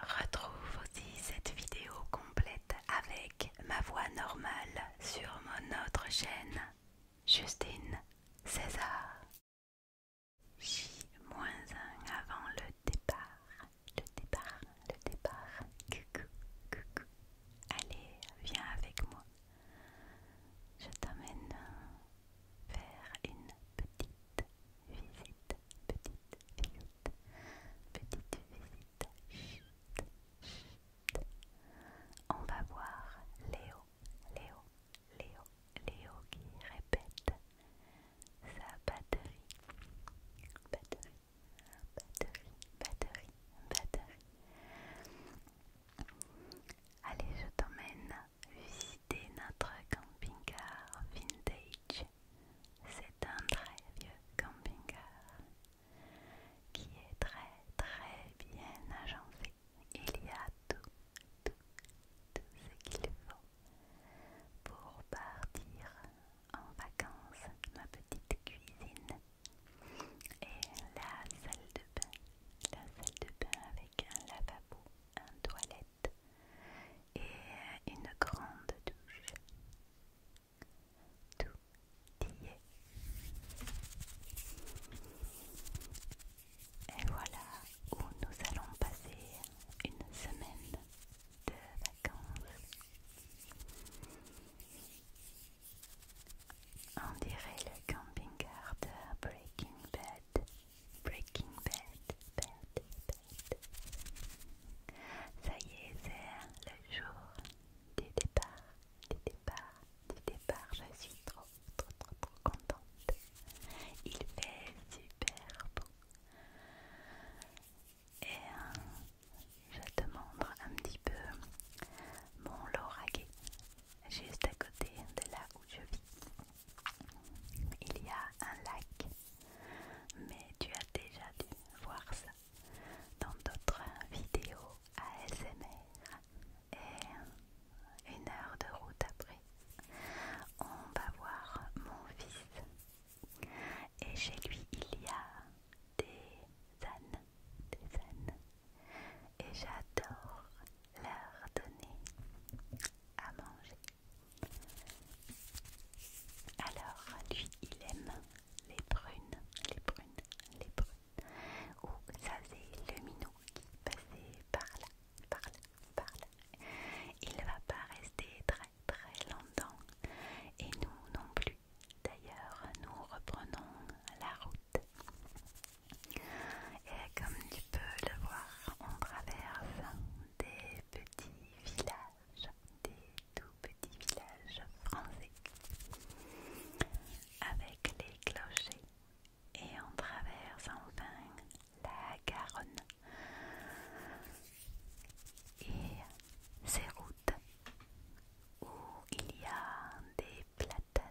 Retrouve aussi cette vidéo complète avec ma voix normale sur mon autre chaîne Justine César. j un avant le départ, le départ, le départ. Coucou, coucou. Allez, viens avec moi je t'emmène vers une petite visite, petite visite, petite visite. On va voir Léo, Léo, Léo, Léo qui répète sa batterie, batterie, batterie, batterie, batterie. Allez, je t'emmène visiter notre camping-car vintage. C'est un très vieux camping-car qui est très très bien agencé. Il y a tout, tout, tout ce qu'il faut pour partir en vacances. Ma petite cuisine et la salle de bain, la salle de bain avec un lavabo, un toilette et une grande douche. Tout y est. Et voilà où nous allons passer une semaine de vacances. On dirait le camping-car de Breaking Bad. Breaking Bad, Bad. Ça y est, c'est le jour du départ, du départ, du départ. Je suis trop, trop, trop, contente. Il fait super beau. Et euh, je te montre un petit peu mon lorraguet, juste à côté de là où je vis. Il y a un lac, mais tu as déjà dû voir ça dans d'autres vidéos ASMR. Et une heure de route après, on va voir mon fils. Et chez lui, il y a des ânes des et j'adore leur donner à manger. Alors lui il aime les prunes, les brunes les prunes. Ou ça c'est le minou qui passait par là, par là, par là. Il va pas rester très très longtemps et nous non plus. D'ailleurs, nous reprenons la route. Et comme tu peux le voir, on traverse des petits villages, des tout petits villages français, avec les clochers. Et on traverse enfin la Garonne. Et ses routes où il y a des platanes,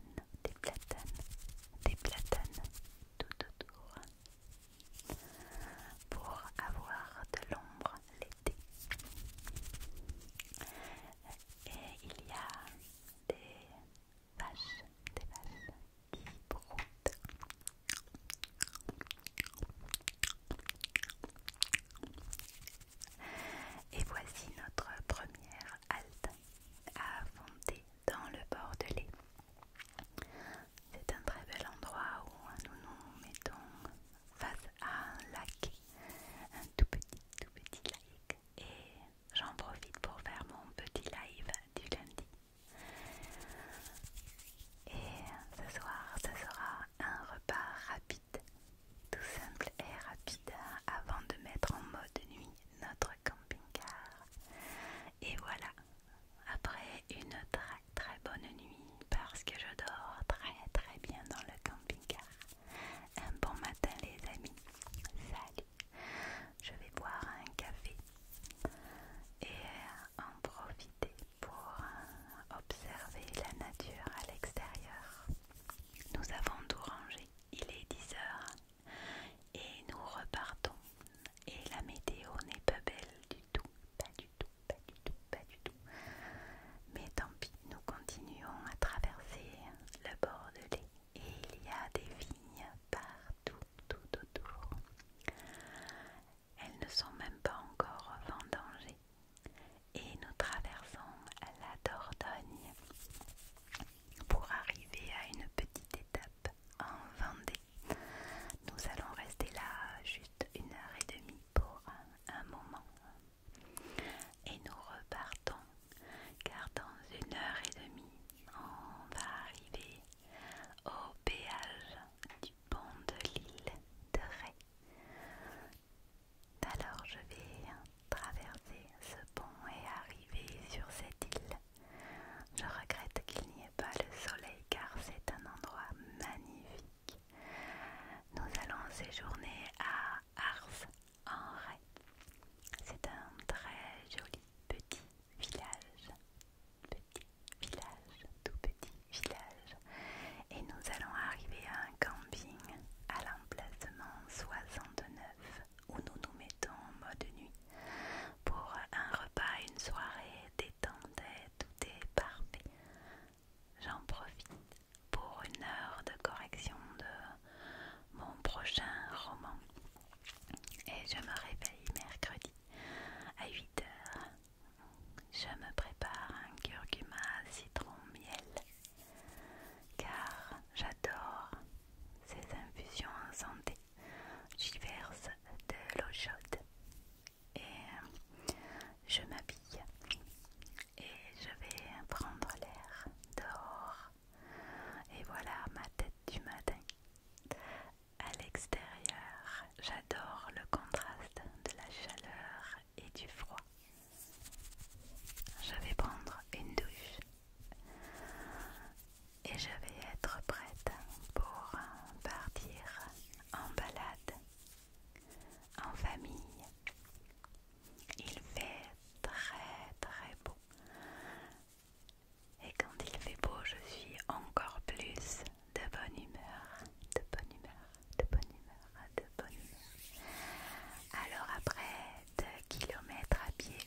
des platanes, des platanes tout autour pour avoir de l'ombre l'été. Et il y a des vaches, des vaches qui broutent. Et voici notre première halte à fondée dans le Bordelais. C'est un très bel endroit où nous nous mettons face à un lac, un tout petit, tout petit lac. Et j'en profite pour faire mon petit live du lundi. Et ce soir, ce sera un repas rapide tout simple et rapide hein, avant de mettre en mode nuit notre camping-car. Et voilà, après une très très bonne nuit parce que je dors très très bien dans le camping-car. Un bon matin les amis, salut. Je vais boire un café et en profiter pour euh, observer la nature à l'extérieur. Nous avons tout rangé il est 10 heures et nous repartons. Et la météo n'est pas belle du tout, pas du tout, pas du tout, pas du tout. Mais tant pis, nous continuons à traverser le Bordelais et il y a des vignes partout, tout autour. Elles ne sont même pas encore vendangées et nous traversons la Dordogne pour arriver à une petite étape en Vendée. Nous allons rester là juste une heure et demie pour un, moment. Et nous repartons car dans une heure et demie, on va arriver au péage du pont de l'île de Ré. Alors je vais traverser ce pont et arriver sur cette île. Je regrette qu'il n'y ait pas le soleil car c'est un endroit magnifique. Nous allons séjourner à Ars en C'est un très joli petit village. Petit village, tout petit village. Et nous allons arriver à un camping à l'emplacement 69 où nous nous mettons en mode nuit pour un repas, une soirée détendue, tout est parfait. J'en profite pour une heure de correction de mon prochain roman et je me réveille mercredi à 8h. Je me prépare un curcuma citron miel car j'adore ces infusions en santé. J'y verse de l'eau chaude et je m'habille et je vais prendre l'air dehors. Et voilà ma tête du matin. À l'extérieur, j'adore le contraste de la chaleur et du froid. Je vais prendre une douche et je vais être prête pour partir en balade en famille. Il fait très très beau. Et quand il fait beau, je suis encore plus de bonne humeur, de bonne humeur, de bonne humeur, de bonne humeur. Alors après km à pied.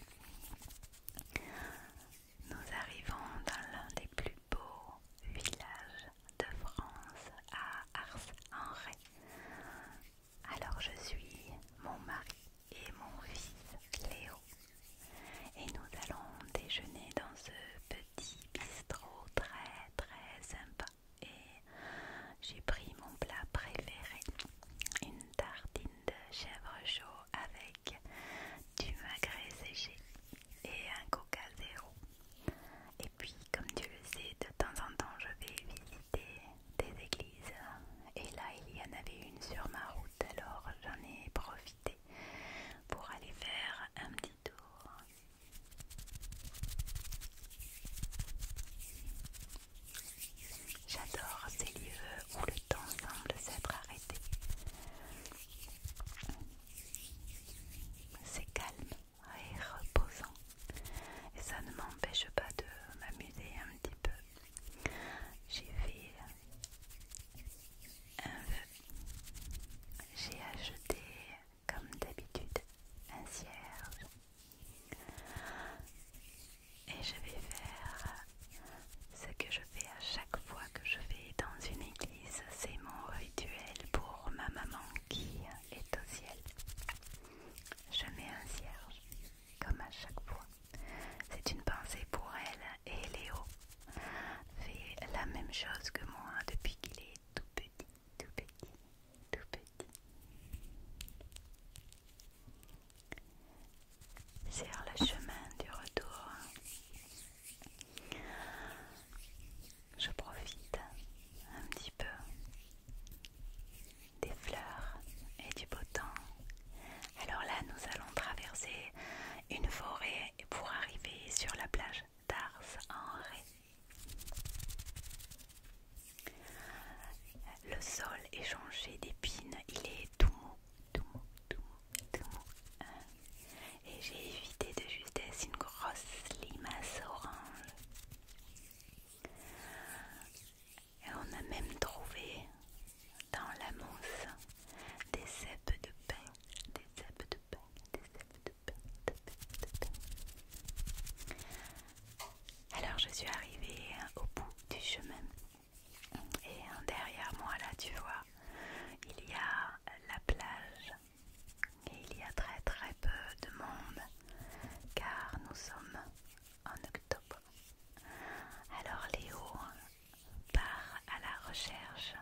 Nous arrivons dans l'un des plus beaux villages de France à Ars-en-Ré. Alors je suis mon mari et mon fils Léo et nous allons déjeuner dans ce petit bistrot très très sympa et j'ai pris mon plat préféré, une tartine de chèvre chaud avec du magret séché et un coca zéro. Et puis, comme tu le sais, de temps en temps, je vais visiter des églises. Et là, il y en avait une sur ma route, alors j'en ai profité pour aller faire un petit tour. J'adore ces lieux où le temps semble s'être arrêté. C'est calme et reposant. Et ça ne m'empêche pas de m'amuser un petit peu. J'ai fait un vœu. J'ai acheté, comme d'habitude, un cierge et je vais faire ce que je fais à chaque fois que je vais dans une église. C'est mon rituel pour ma maman qui est au ciel. Je mets un cierge, comme à chaque fois. C'est une pensée pour elle et Léo fait la même chose que moi depuis qu'il est tout petit, tout petit, tout petit sur le chemin du retour. Je profite un petit peu des fleurs et du beau temps. Alors là, nous allons traverser une forêt pour arriver sur la plage d'Ars en Ré. Le sol est changé d'épines, il est tout mou, tout tout tout hein. Et j'ai évité de justesse une grosse limace orange. Et on a même trouvé dans la mousse des cèpes de pain, des de pain, des de pain. Alors je suis arrivée au bout du chemin et hein, derrière moi là tu vois il y a la plage et il y a très très peu de monde car nous sommes en octobre. Alors Léo part à la recherche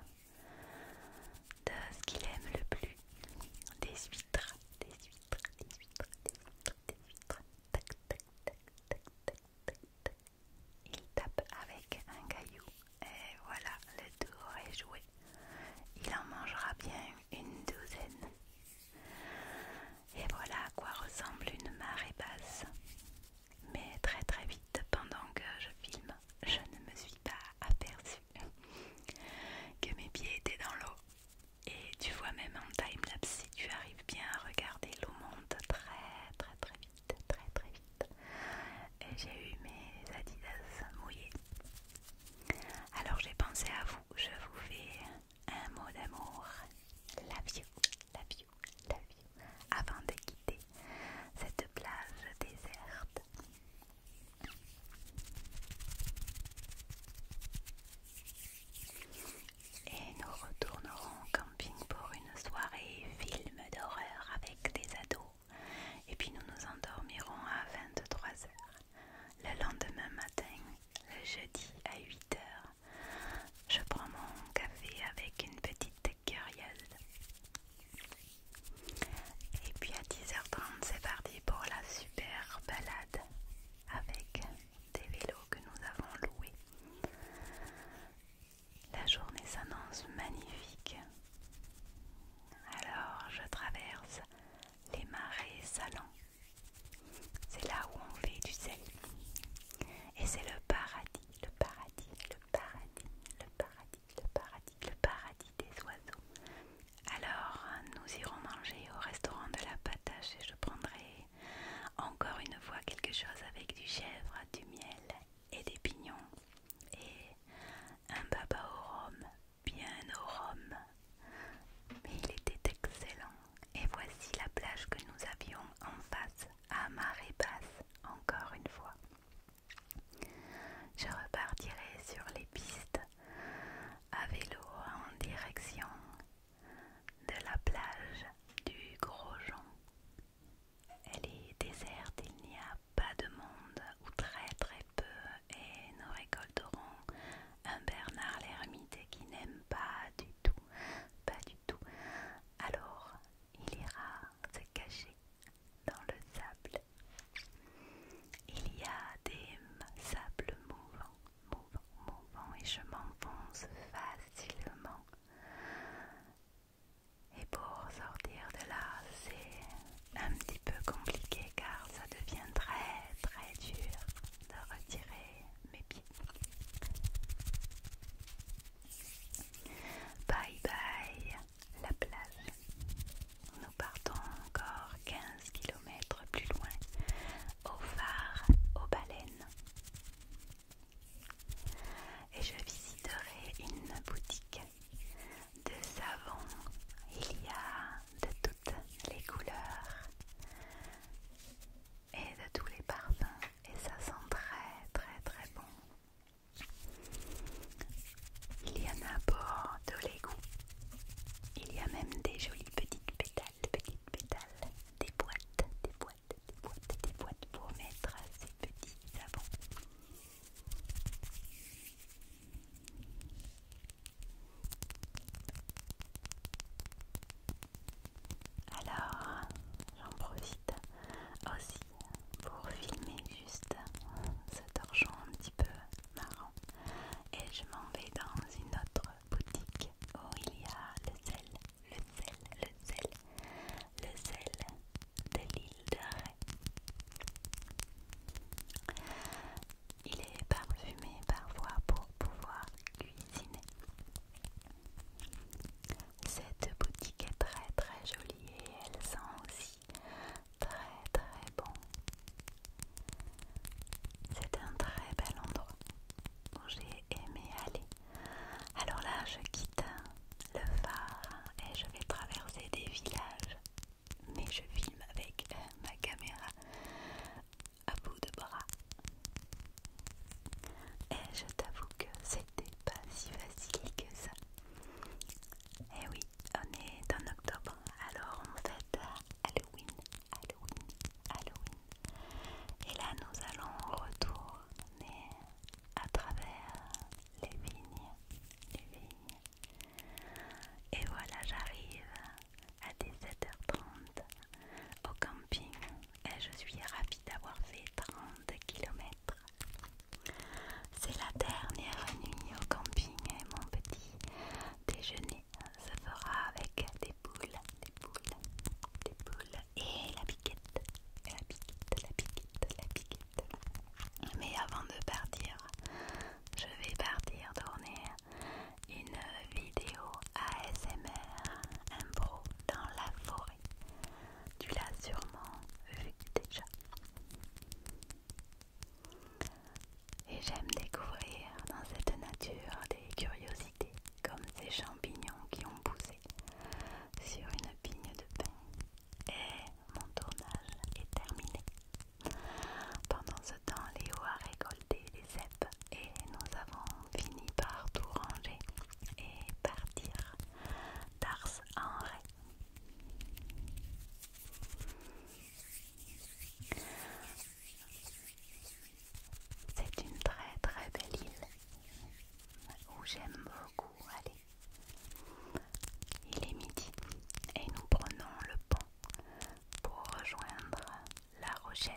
de ce qu'il aime le plus, des huîtres, des huîtres, des huîtres, des huîtres, des huîtres, tac tac il tape avec un caillou. Et voilà, le tour est joué. Il en mangera bien une douzaine. Et voilà à quoi ressemble une marée basse. Mais très très vite, pendant que je filme, je ne me suis pas aperçue que mes pieds étaient dans l'eau. Et tu vois même en timelapse si tu arrives bien à regarder l'eau monte très très très vite, très très vite. J'ai eu mes adidas mouillés. Alors j'ai pensé à vous, je vous fais un mot d'amour. La vieux, la vieux, Avant de quitter cette plage déserte. Et nous retournerons au camping pour une soirée film d'horreur avec des ados. Et puis nous nous endormirons à 23h. Le lendemain matin, le jeudi à 8h, je prends mon café avec une petite curieuse. Et puis à 10h30, c'est parti pour la super balade avec des vélos que nous avons loués. La journée s'annonce magnifique. Alors je traverse les marais salants. C'est là où on fait du sel. Et c'est le paradis, le paradis, le paradis, le paradis, le paradis, le paradis des oiseaux. Alors nous irons manger au restaurant de la patache et je prendrai encore une fois, quelque chose avec du chèvre, du miel et des pignons. Et un baba au rhum, bien au rhum. Mais il était excellent. Et voici la plage que nous avions en face, à marée basse, encore une fois. Je repartirai sur les pistes à vélo en direction de la plage du Gros-Jean Elle est déserte, il n'y a pas de monde, ou très très peu, et nous récolterons un Bernard l'ermite qui n'aime pas du tout, pas du tout. Alors, il ira se cacher dans le sable. Il y a des sables mouvants mon et je m'enfonce facilement. Et pour sortir de là, c'est un petit peu compliqué car ça devient très très dur de retirer mes pieds. Bye bye la plage. Nous partons encore 15 km plus loin, au phare, aux baleines et je visiterai une boutique de savon. Il y a de toutes les couleurs et de tous les parfums et ça sent très très très bon. Il y en a pour de les Il y a même des jolies petites pétales, petites pétales, des boîtes, des boîtes des boîtes, pour mettre ces petits savons. Alors, j'en profite aussi pour filmer juste cet torchon un petit peu marrant. Et je m'en vais dans une autre boutique où il y a le sel le sel, le sel, le sel de l'île de Ré. Il est parfumé parfois pour pouvoir cuisiner. Cette boutique est très très jolie et elle sent aussi très très bon. C'est un très bel endroit aimer aller. Alors là, je quitte le phare et je vais traverser des villages. Mais je filme avec euh, ma caméra à bout de bras. Et je t'avoue que c'était pas si facile que ça. Et eh oui, on est en octobre, alors on fête Halloween, Halloween, Halloween. Et là, nous allons retourner à travers les vignes, Et voilà, j'arrive à 17h30 au camping et je suis ravie d'avoir fait 30 km. C'est la dernière nuit au camping et mon petit déjeuner se fera avec des poules des boules, et la piquette, la piquette, la piquette, la piquette. Mais avant de partir, je vais partir tourner une vidéo ASMR impro dans la forêt. Tu l'as sûrement vu déjà. Et j'aime découvrir dans cette nature des curiosités comme ces champignons qui ont poussé sur une pigne de pain. Et mon tournage est terminé. Pendant ce temps, Léo a récolté les cèpes et nous avons fini par tout ranger et partir d'Ars en Ré c'est une très très belle île où j'aime beaucoup aller. Il est midi et nous prenons le pont pour rejoindre La Rochelle.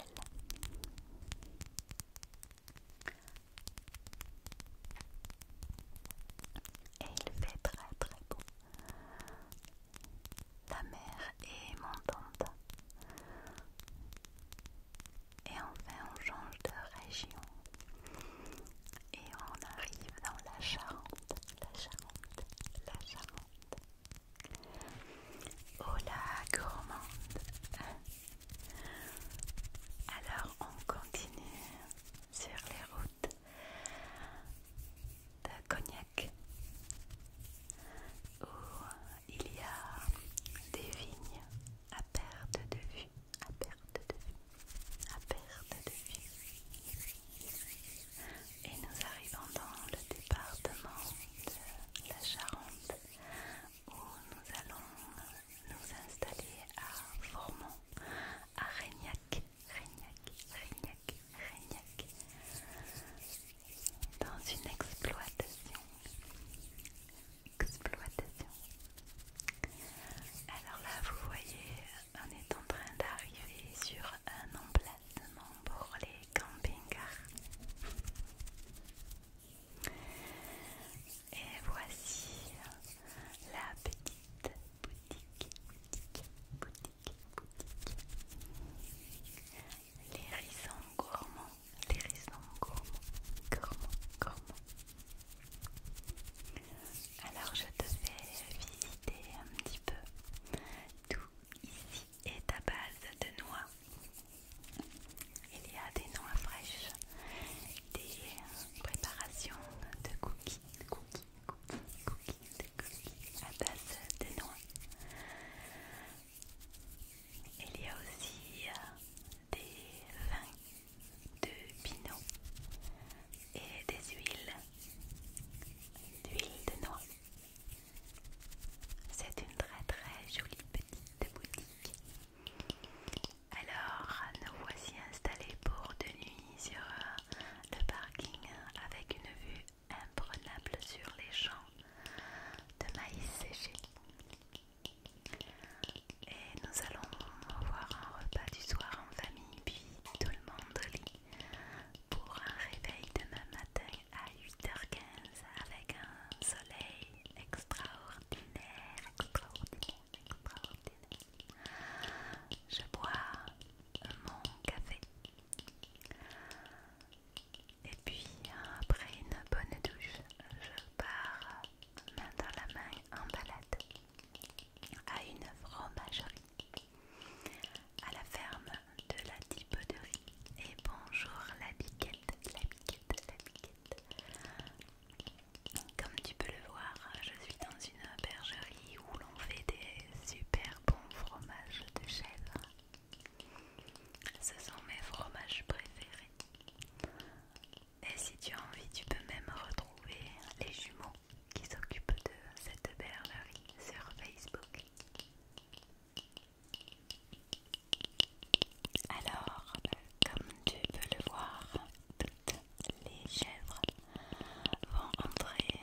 Et il fait très très beau. La mer est montante. Et enfin, on change de région et on arrive dans la Charente, la Charente, la Charente. Oh la gourmande Alors on continue sur les routes de Cognac ou il y a des vignes à perte de vue, à perte de vue, à perte de vue. Et nous arrivons dans le département de la Charente où nous allons nous installer à Formont, à Régnac, Régnac, Régnac, Régnac, dans une exploitation exploitation. Alors là, vous voyez, on est en train d'arriver sur un emplacement pour les camping-cars. Et voici la petite boutique, boutique, boutique, boutique. Les rizons gourmands raisons gourmands Gourmands, gourmands Alors je te fais visiter un petit peu. Tout ici est à base de noix. Il y a des noix fraîches, des préparations de cookies, cookies, cookies, cookies, cookies à base de noix. Il y a aussi euh, des vins de pinot et des huiles d'huile de noix. C'est une très très jolie petite boutique. Alors nous voici installés pour de nuit sur euh, le parking avec une vue imprenable sur les champs de maïs séché. Et nous allons avoir un repas du soir en famille, puis tout le monde lit pour un réveil demain matin à 8h15 avec un soleil extraordinaire. Je bois mon café. Et puis après une bonne douche, je pars main dans la main en balade à une fromagerie à la ferme de la Riz, et bonjour la biquette, la biquette, la biquette comme tu peux le voir je suis dans une bergerie où l'on fait des super bons fromages de chèvre ce sont mes fromages préférés et si tu as envie, tu peux même retrouver les jumeaux qui s'occupent de cette bergerie sur Facebook. Alors, comme tu peux le voir, toutes les chèvres vont entrer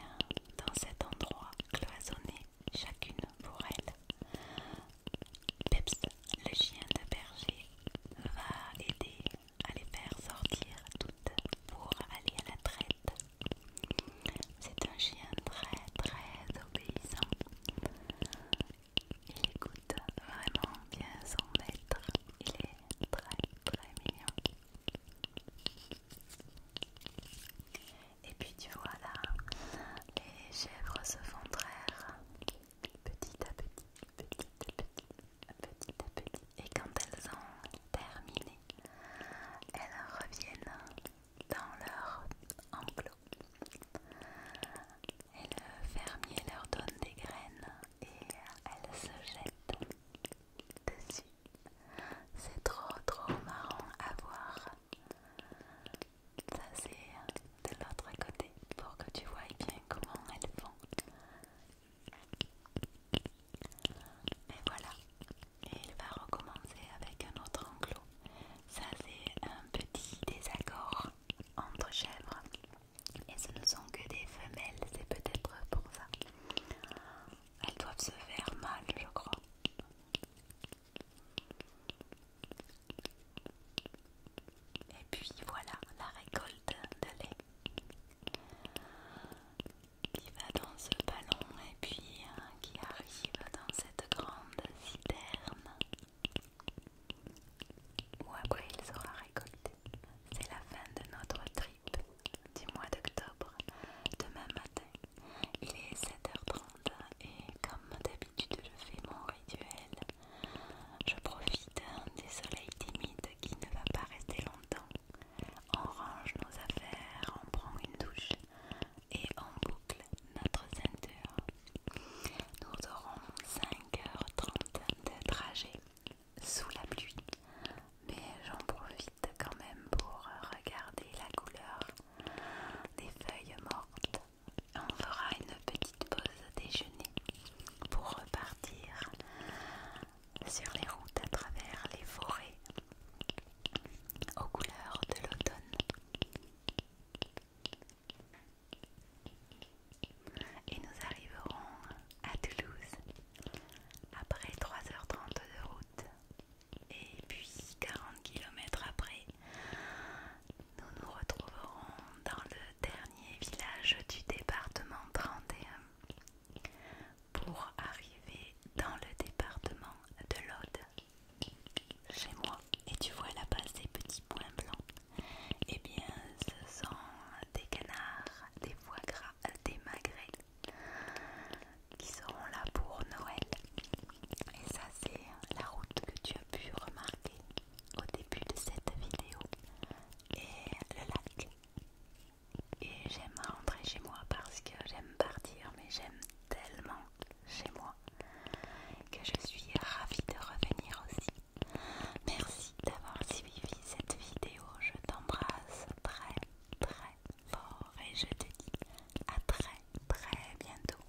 dans cet endroit cloisonné, chacune pour elle, Peps, le chien de berger, va aider à les faire sortir toutes pour aller à la traite. C'est un chien très très obéissant. Il écoute vraiment bien son maître. Il est très très mignon. Et puis tu vois là, les chèvres se font traire petit à petit, petit à petit, petit à petit. Et quand elles ont terminé, elles reviennent dans leur enclos. Et le fermier leur donne des graines et elles se jettent dessus. C'est trop trop marrant à voir. Ça c'est de l'autre côté pour que tu vois bien comment elles font. Mais voilà. il va recommencer avec un autre enclos. Ça c'est un petit désaccord entre chèvres. Et ce ne sont que des femelles, c'est peut-être pour ça. Elles doivent se faire mal, je crois. Et puis voilà la récolte de lait qui va dans ce ballon et puis hein, qui arrive dans cette grande citerne où après il sera récolté. C'est la fin de notre trip du mois d'octobre. Demain matin, il est 7h30 et comme d'habitude, je fais mon rituel. Je profite des soleils timide qui ne va pas rester longtemps. On range nos affaires, on prend une douche et on boucle notre ceinture. Nous aurons 5h30 de trajet sous la pluie, mais j'en profite quand même pour regarder la couleur des feuilles mortes on fera une petite pause déjeuner pour repartir sur les routes à travers les forêts aux couleurs de l'automne. Et nous arriverons à Toulouse après 3h30 de route. Et puis 40 km après, nous nous retrouverons dans le dernier village du département 31 pour arriver dans le département de l'Aude. Chez moi, et tu vois là-bas ces petits points blancs, eh bien ce sont des canards, des foie gras, des magrets qui seront là pour Noël. Et ça c'est la route que tu as pu remarquer au début de cette vidéo Et le lac. Et j'aime rentrer chez moi parce que j'aime partir, mais j'aime tellement chez moi que je suis ravie de revenir aussi. Merci d'avoir suivi cette vidéo. Je t'embrasse très très fort et je te dis à très très bientôt.